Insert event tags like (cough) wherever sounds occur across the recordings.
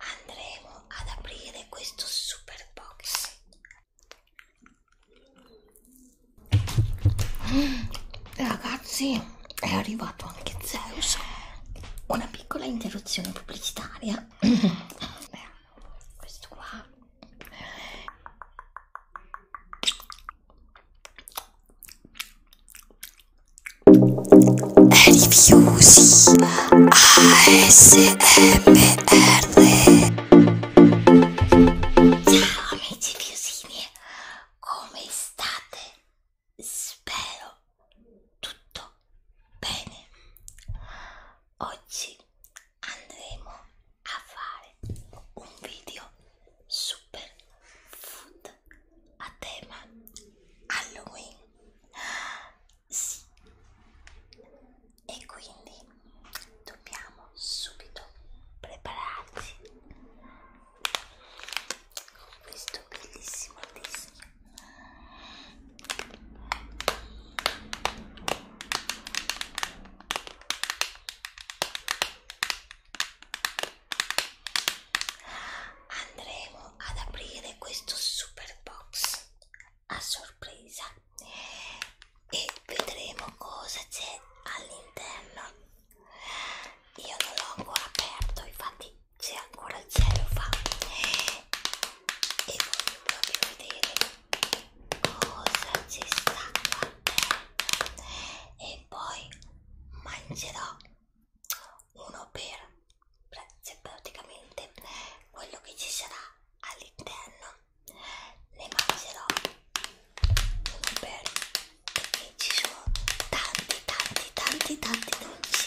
andremo ad aprire questo super box mm, ragazzi è arrivato anche Zeus una piccola interruzione pubblicitaria questo qua Rifiusi ASMR Ciao amici fiusini, come state? Spero tutto bene. Oggi andremo a fare un video super food a tema Halloween sì e quindi dobbiamo subito prepararci questo bellissimo disco andremo ad aprire questo super box a sorpresa e vedremo cosa c'è all'interno io non l'ho ancora aperto infatti c'è ancora il cielo fa e voglio proprio vedere cosa ci sta qua dentro e poi mangerò uno per cioè praticamente quello che ci sarà all'interno ne mangerò uno per perché ci sono tanti tanti tanti tanti dolci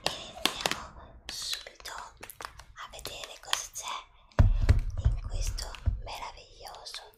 quindi iniziamo subito a vedere cosa c'è in questo meraviglioso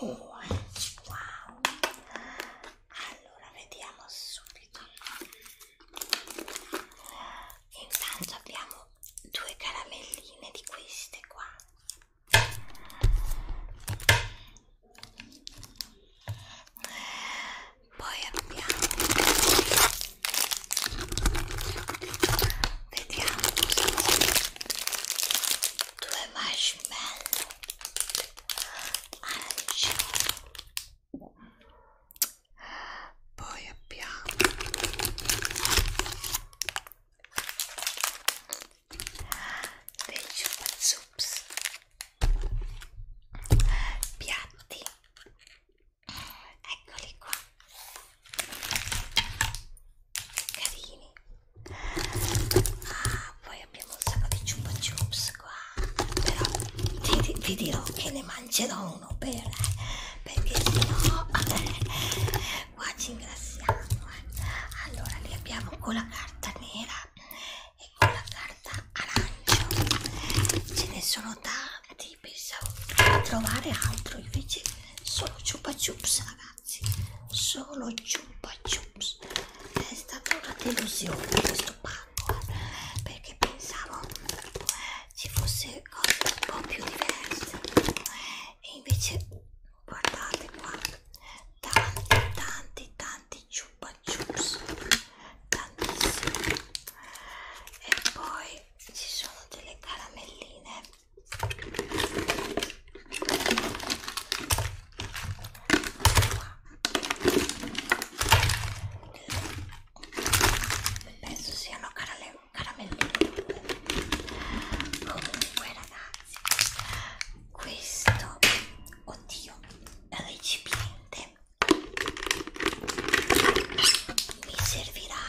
Oh, wow. Allora vediamo subito. Intanto abbiamo due caramelline di queste qua poi abbiamo vediamo due marshmallow arancioni poi abbiamo del Chupa Chups piatti eccoli qua carini ah poi abbiamo un sacco di Chupa Chups qua però ti, ti dirò che ne mangerò uno per eh, perché sennò no, qua ci ingrassiamo eh. allora li abbiamo con la carta nera e con la carta arancio ce ne sono tanti pensavo di trovare altro invece solo chupa chups ragazzi solo chupa chups è stata una delusione questo pacco eh, perché pensavo ci fosse cose un po' più diverse e invece guardate qua tanti tanti tanti ciupa ciups tantissimi e poi ci sono delle caramelline qua penso siano carame caramello comunque ragazzi questo oddio recipiente mi servirà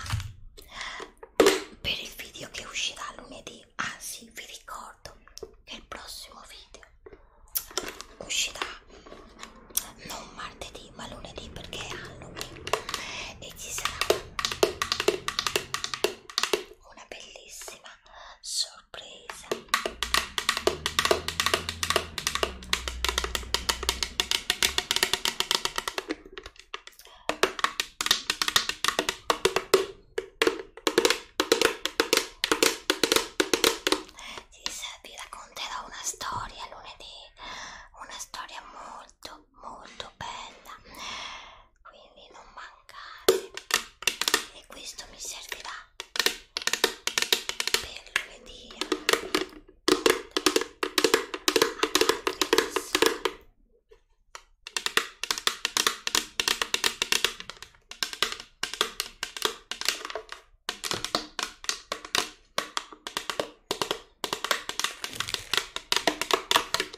per il video che uscirà lunedì anzi vi ricordo che il prossimo video uscirà non martedì ma lunedì perché è Halloween e ci sarà una bellissima sorpresa vi racconterò una storia lunedì una storia molto molto bella quindi non mancate e questo mi servirà per lunedì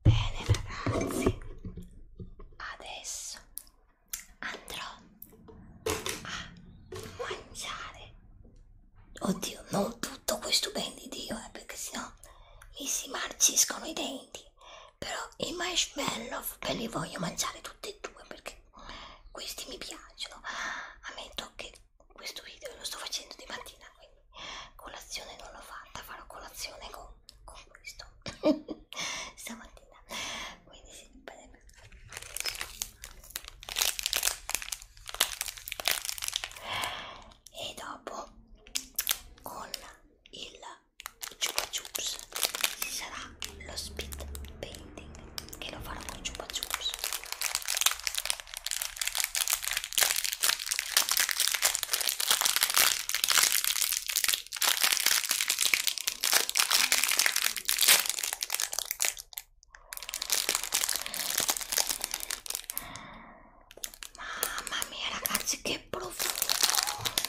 Bene ragazzi, adesso andrò a mangiare. Oddio, non tutto questo ben di Dio, eh, perché sennò mi si marciscono i denti. Però i marshmallow ve li voglio mangiare tutti e due perché questi mi piacciono ammetto che questo video lo sto facendo di mattina quindi colazione non l'ho fatta farò colazione con, con questo (laughs) stamattina quindi sì, bene. e dopo con il Chupa Chups sarà los Pit Painting que lo farò con chupa chups. Mamma mia ragazzi che profumo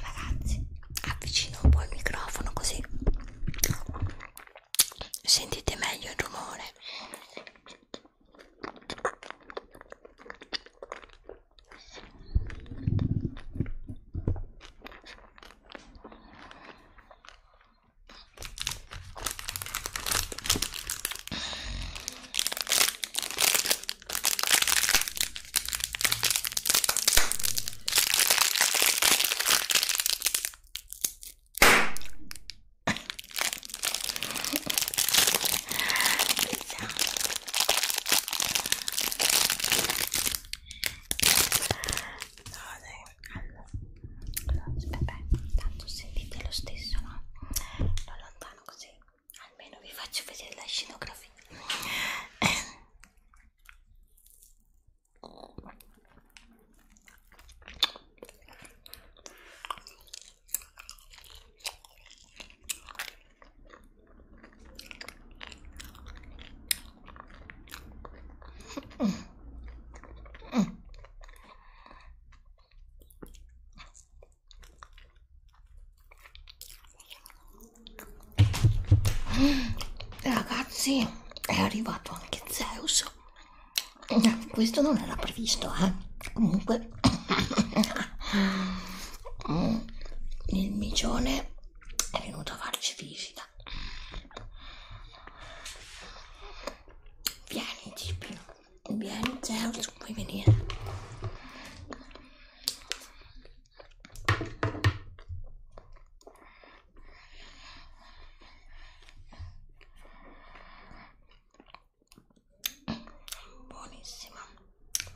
Ragazzi, avvicino un po' il microfono così sentite meglio il rumore tanto sentite lo stesso, no? Lo allontano così, almeno vi faccio vedere la scenografia. Ragazzi, e è arrivato anche Zeus. Questo non era previsto, eh? Comunque, il micione è venuto a farci visita. Vieni, Tipio, vieni, Zeus, puoi venire buonissima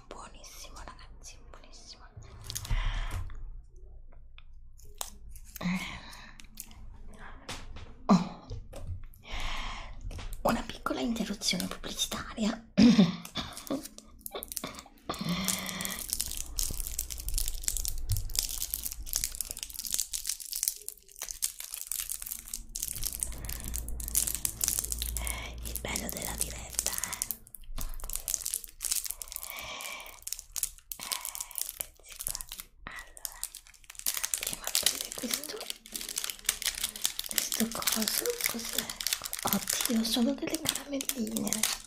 buonissima ragazzi buonissima oh. una piccola interruzione pubblicitaria eh, il bello della diretta, eh. eh eccoci qua. Allora, andiamo a prendere questo. Questo coso, cos'è? Oddio, sono delle caramelline, ragazzi.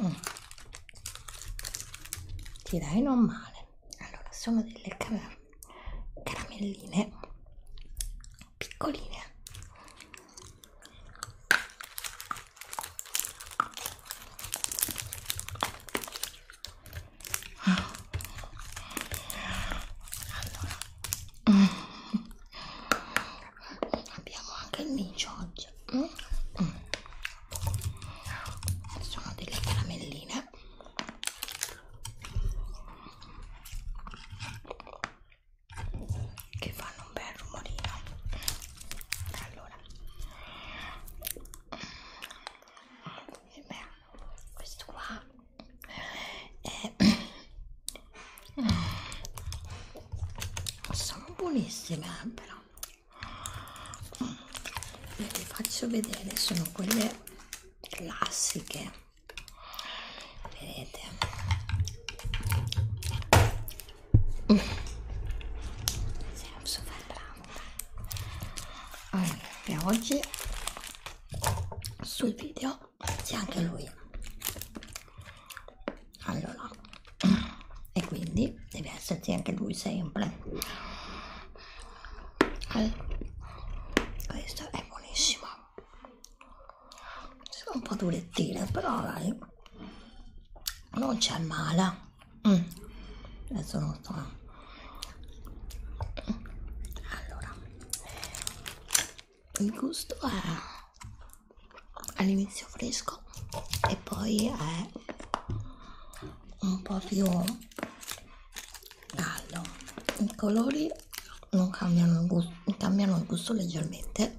Mm. Eh. Direi non male. Allora, sono delle car caramelline piccoline allora. Abbiamo anche il micio oggi. Mm? Mm. Sono delle caramelline. Che fanno fanno un bel rumorino allora eh beh, questo qua è... sono buonissime eh, però ve le faccio vedere sono quelle classiche vedete siamo super bravo. Allora, per oggi sul video c'è anche lui. Allora, e quindi deve esserci anche lui sempre. Allora, questo è buonissimo. Sono un po' durettino, però dai, non c'è male mm. adesso non sto allora il gusto è all'inizio fresco e poi è un po' più caldo i colori non cambiano il gusto cambiano il gusto leggermente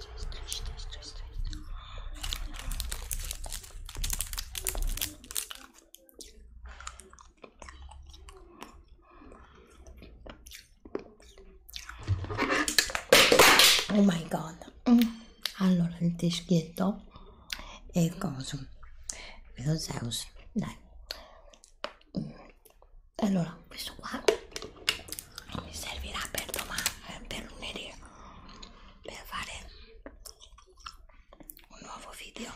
Oh my god! Mm. Allora il teschietto e il coso, lo Zeus, dai, allora questo qua mi servirà per domani eh, per lunedì per fare un nuovo video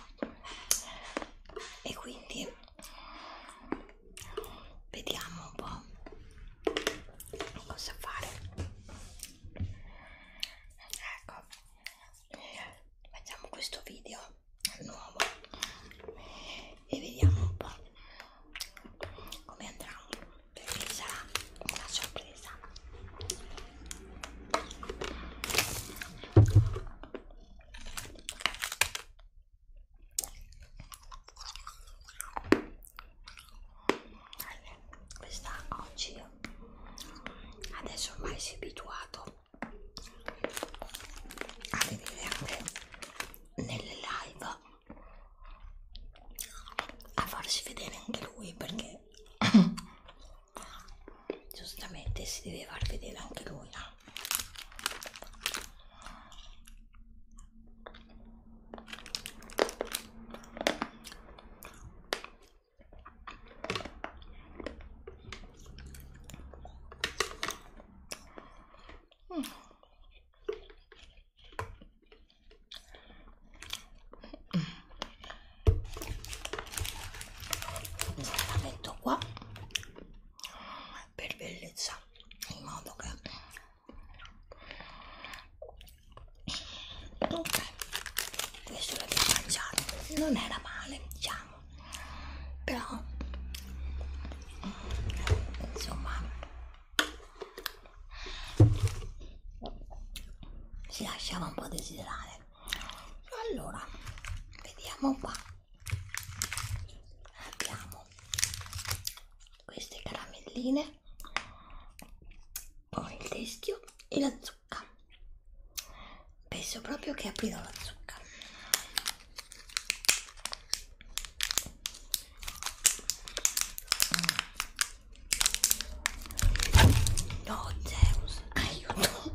e quindi vediamo un po' cosa fare ecco facciamo questo video nuovo e vediamo un po' come andrà perché sarà una sorpresa questa oggi adesso ormai si è abituato a vedere anche nelle live a farsi vedere anche lui perché (coughs) giustamente si deve far vedere anche lui no? Mm. Questa la metto qua per bellezza, in modo che ok, questo l'abbiamo mangiato, non era male, diciamo, però insomma si lasciava un po' desiderare allora vediamo qua abbiamo queste caramelline con il teschio e la zucca penso proprio che aprirò la zucca No, Zeus, aiuto.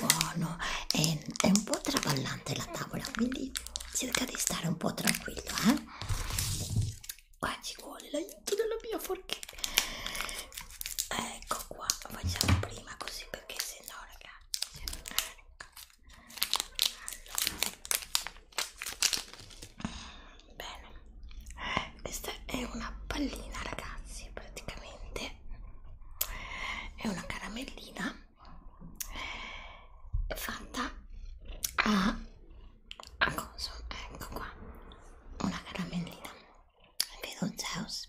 Buono, è, è un po' traballante la tavola, quindi cerca di stare un po' tranquillo, eh? Qua ci vuole l'aiuto della mia forchetta. Ecco qua, facciamo prima così perché se no, ragazzi. Ecco allora. bene questa è una pallina ragazzi praticamente è una caramellina eh, fatta a, a coso ecco qua una caramellina vedo Zeus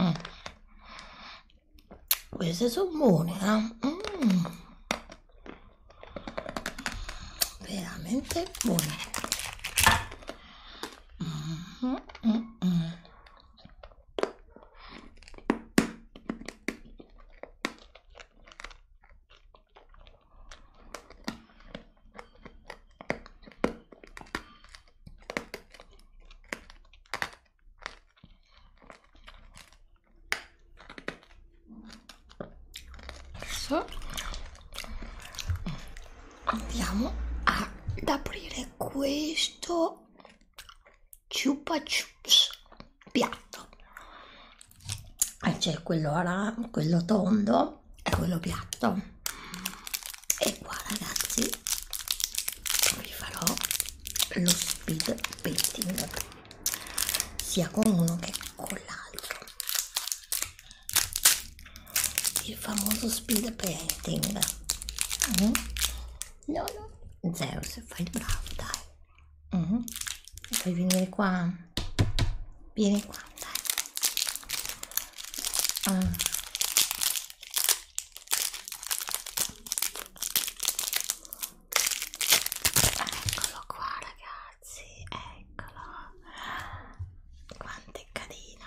Mm. Queste sono buone, eh? mm. veramente buone. Mm -hmm, -hmm. Adesso andiamo ad aprire questo chupa chups piatto eh, c'è quello, quello tondo e quello piatto e qua ragazzi vi farò lo speed painting sia con uno che con l'altro il famoso speed painting mm. no no zero se fai il bravo dai mm. Mm-hmm. vuoi venire qua vieni qua dai Ah. Eccolo qua ragazzi, eccolo. Quanto è carino.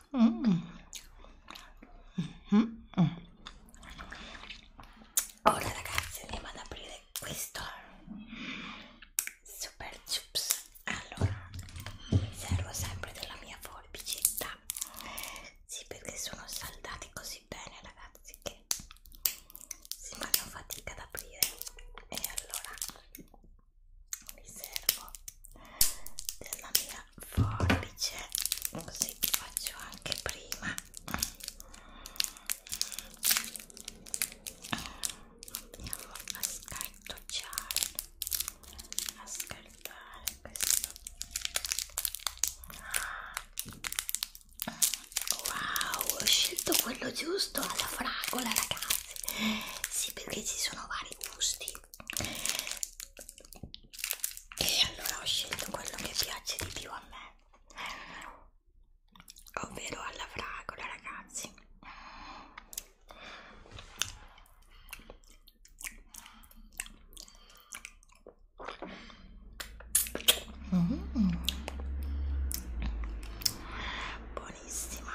Mm. Mm -hmm. Ora ragazzi andiamo ad aprire questo super chips. Allora, mi servo sempre della mia forbicetta. Sì, perché sono saldati così bene ragazzi che si fanno fatica ad aprire. E allora mi servo della mia forbice così vi faccio anche prima andiamo a scartocciare a scartare questo wow ho scelto quello giusto alla fragola ragazzi sì perché ci sono vari gusti e allora ho scelto quello che piace di più a me ovvero alla fragola ragazzi mm. buonissima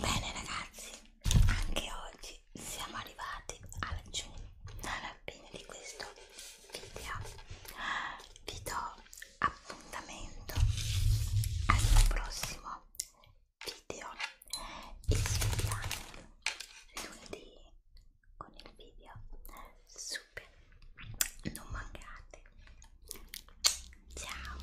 Bene ragazzi, anche oggi siamo arrivati alla, alla fine di questo Lidia vi do appuntamento al mio prossimo video e ci vediamo lunedì con il video super non mancate ciao